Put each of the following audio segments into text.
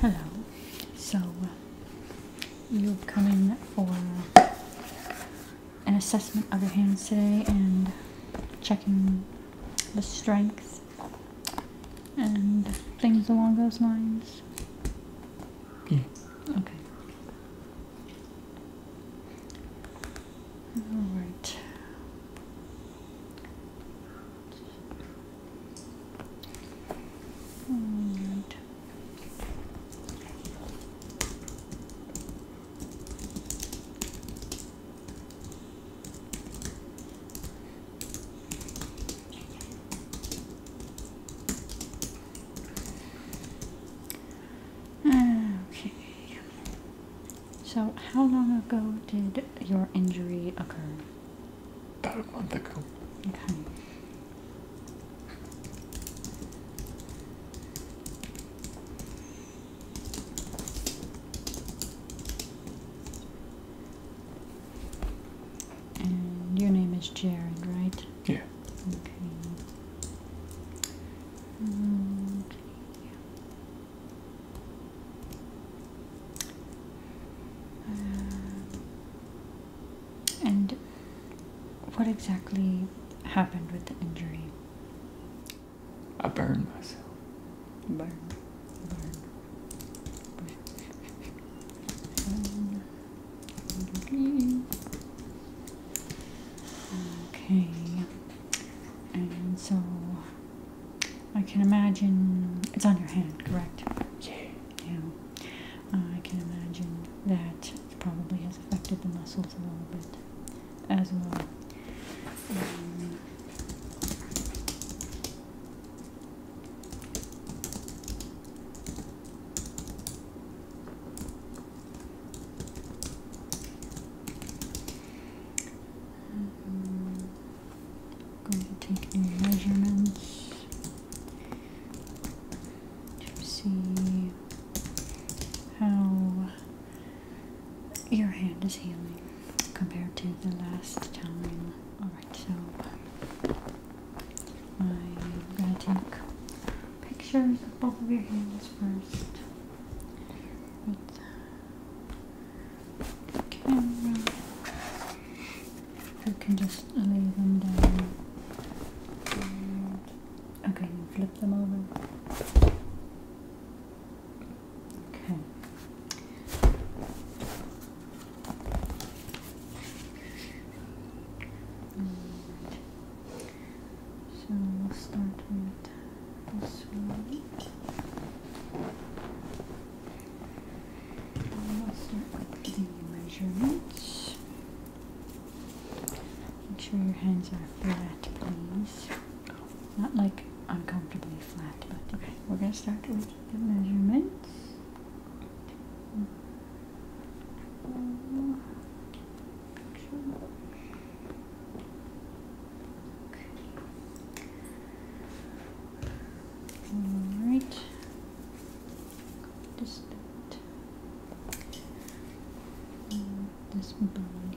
Hello, so uh, you're coming for an assessment of your hands today and checking the strength and things along those lines? Okay. All right. All right. Okay. So, how long ago did your injury occur? About a month ago. Okay. And your name is Jared, right? Yeah. Okay. Mm, uh, and what exactly happened with the injury? I burned myself. Burn. Burn. Burn. burn. Okay. And so I can imagine it's on your hand, correct? Yeah. Yeah. I can imagine that probably has affected the muscles a little bit as well. Mm-hmm. Going to take new measurements to see how your hand is healing compared to the last time. Alright, so I'm going to take pictures of both of your hands first uh, camera. I can just lay them down. okay, flip them over. Okay. So we'll start with this one. We'll start with the measurements. Make sure your hands are flat, please. Not like uncomfortably flat, but okay. We're gonna start with the measurements. All right. Just mm, this bone here.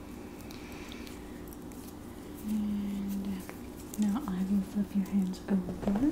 And now I will flip your hands over. Okay.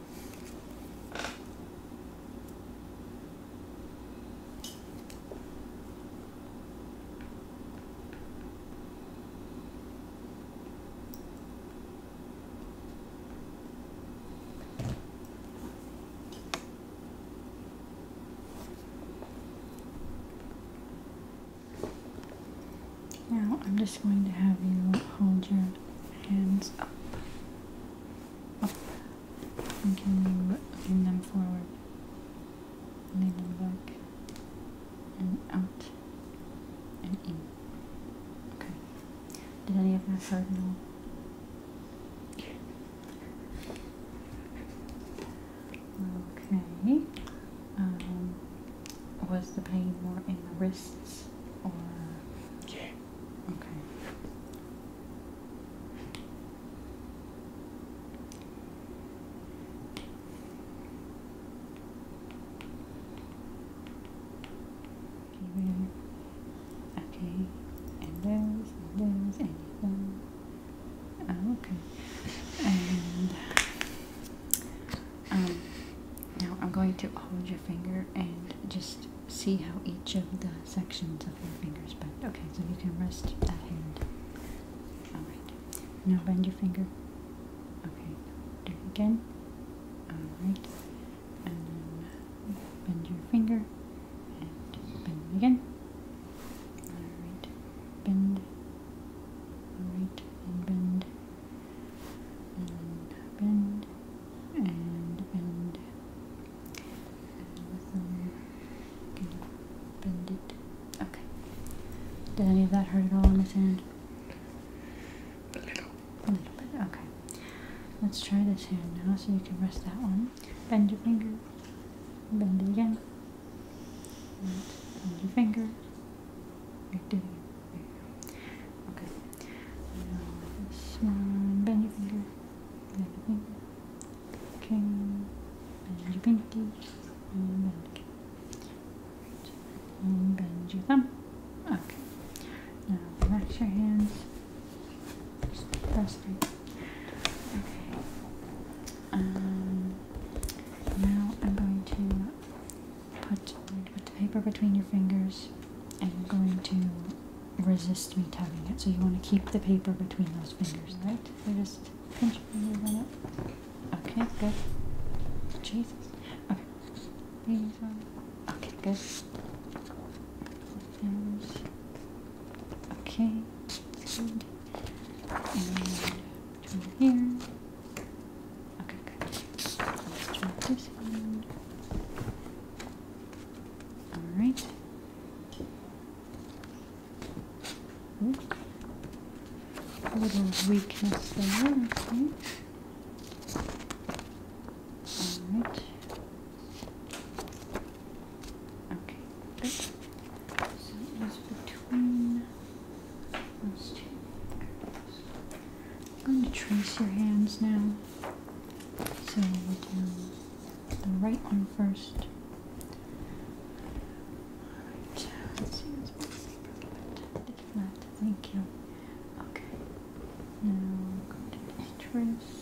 Now I'm just going to have you hold your hands up Oh. And can you lean them forward? Lean them back. And out. And in. Okay. Did any of us hurt? No. Okay. Um, was the pain more in the wrists or? Yeah. Okay. Okay, and those, and those, and you okay. And um, now I'm going to hold your finger and just see how each of the sections of your fingers bend. Okay, so you can rest that hand. Alright. Now bend your finger. Okay. Do it again. Alright. And then bend your finger. And bend again. Alright. Bend. Alright. And bend and bend and bend and bend okay did any of that hurt at all in this end? a little a little bit okay let's try this hand now so you can rest that one bend your finger bend it again bend your finger right, Okay. Now this one, bend your finger, bend your finger, okay, bend your pinky, bend, okay. Right. bend your thumb. Okay. Now relax your hands. Just press it. Okay. Um, now I'm going to put, put the paper between your fingers and you're going to resist me tugging it. So you want to keep the paper between those fingers, right? just pinch fingers on it. Okay, good. Jesus. Okay. Okay, good. Okay, good. Okay, good. All right. Ooh. A little weakness there, okay. All right. Okay, So it was between those two. I'm going to trace your hands now. So we'll do the right one first. Alright, let's see this paper a If not, thank you. Okay. Now I'm going to trace.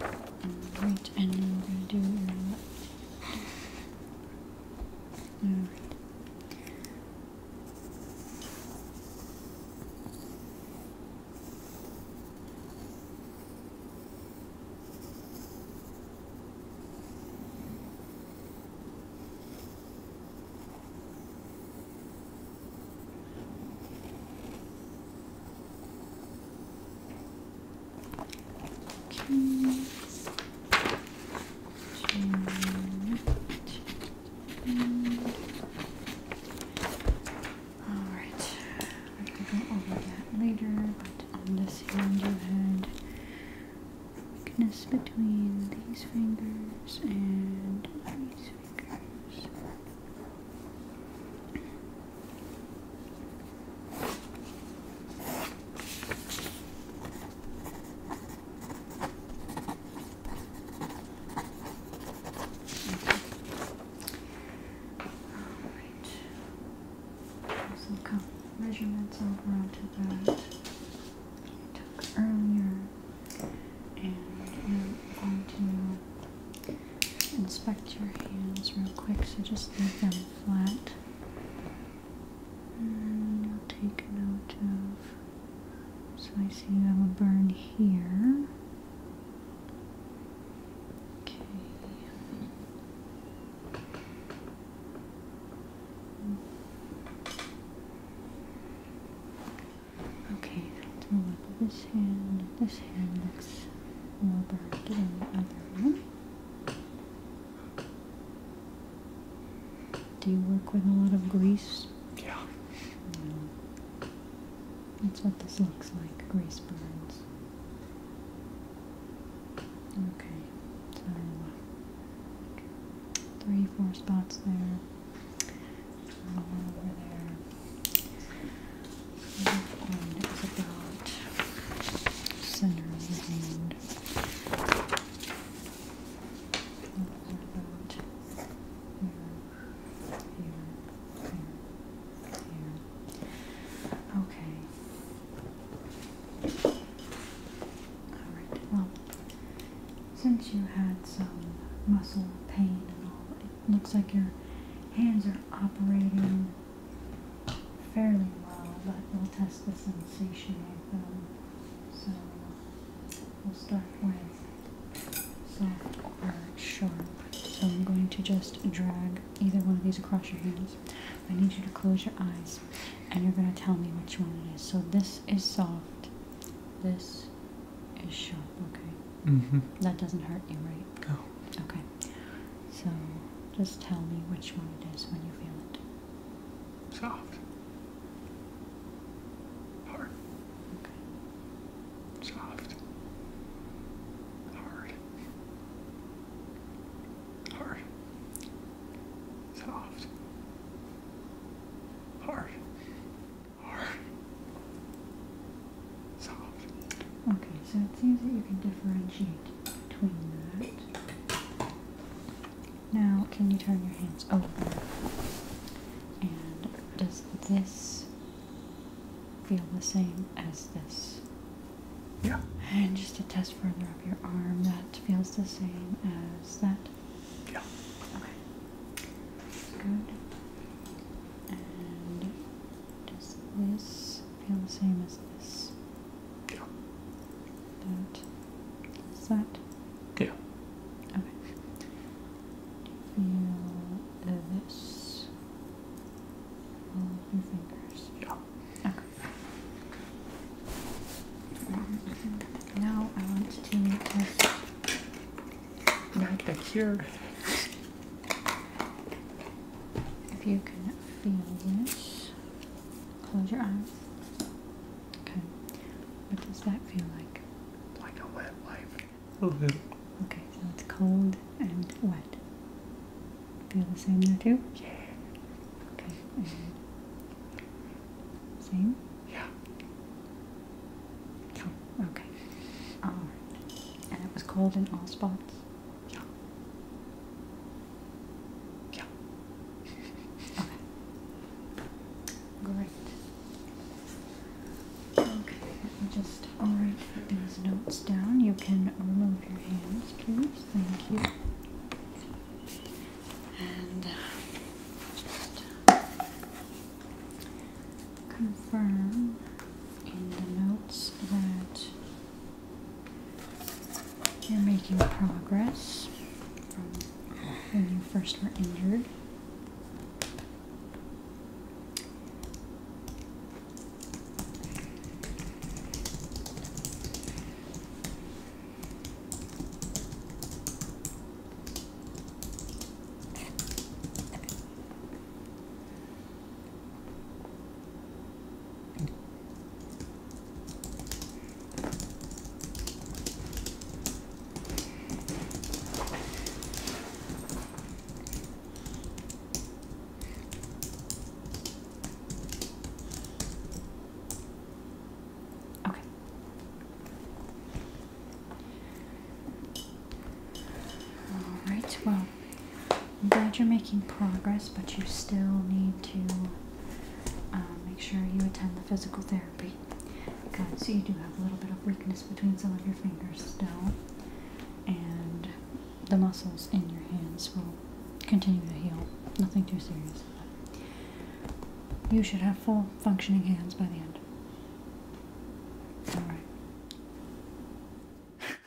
Alright, and I'm gonna do your left. Alright. Alright, I'm to go over that later, but on this hand you had weakness between these fingers and these fingers. All right. Some cup measurements over onto that I took earlier, and I'm going to inspect your hands real quick, so just leave them flat. And you'll take a note of. So I see you have a burn here. Okay. Okay, to the left of this hand, this hand looks more burned than the other one. Do you work with a lot of grease? Yeah. That's what this looks like, grease burns. Okay, three, four spots there. One over there center of the hand. Okay. Alright, well, since you had some muscle pain and all, it looks like your hands are operating fairly well, but we'll test the sensation of them. So we'll start with soft or sharp. So I'm going to just drag either one of these across your hands. I need you to close your eyes and you're going to tell me which one it is. So this is soft, this is sharp, okay? Mm-hmm. That doesn't hurt you, right? Oh. Okay. So just tell me which one it is when you feel it. Soft. Hard. Okay. Soft. Hard. Hard. Soft. Hard. Hard. Okay, so it seems that you can differentiate between that. Now, can you turn your hands over? And does this feel the same as this? Yeah. And just to test further up your arm, that feels the same as that? Yeah. Okay. good. And does this feel the same as this? Yeah. That is that? Yeah. Okay. feel this? your fingers. Yeah. Okay. Now I want to test. Not the cure. If you can feel this, close your eyes. Okay. What does that feel like? Like a wet wipe. Mm -hmm. Okay, so it's cold and wet. Feel the same there too? Yeah. Okay. same? Yeah. okay. Alright. And it was cold in all spots? Yeah. Yeah. okay. Great. Okay, just I'll write these notes down. You can remove your hands, please. Thank you. And uh, just confirm in the notes that you're making progress when you first were injured. Okay. All right. Well, I'm glad you're making progress, but you still need to um, make sure you attend the physical therapy. Good. So you do have a little bit of weakness between some of your fingers still, and the muscles in your hands will continue to heal. Nothing too serious. you should have full functioning hands by the end. All right.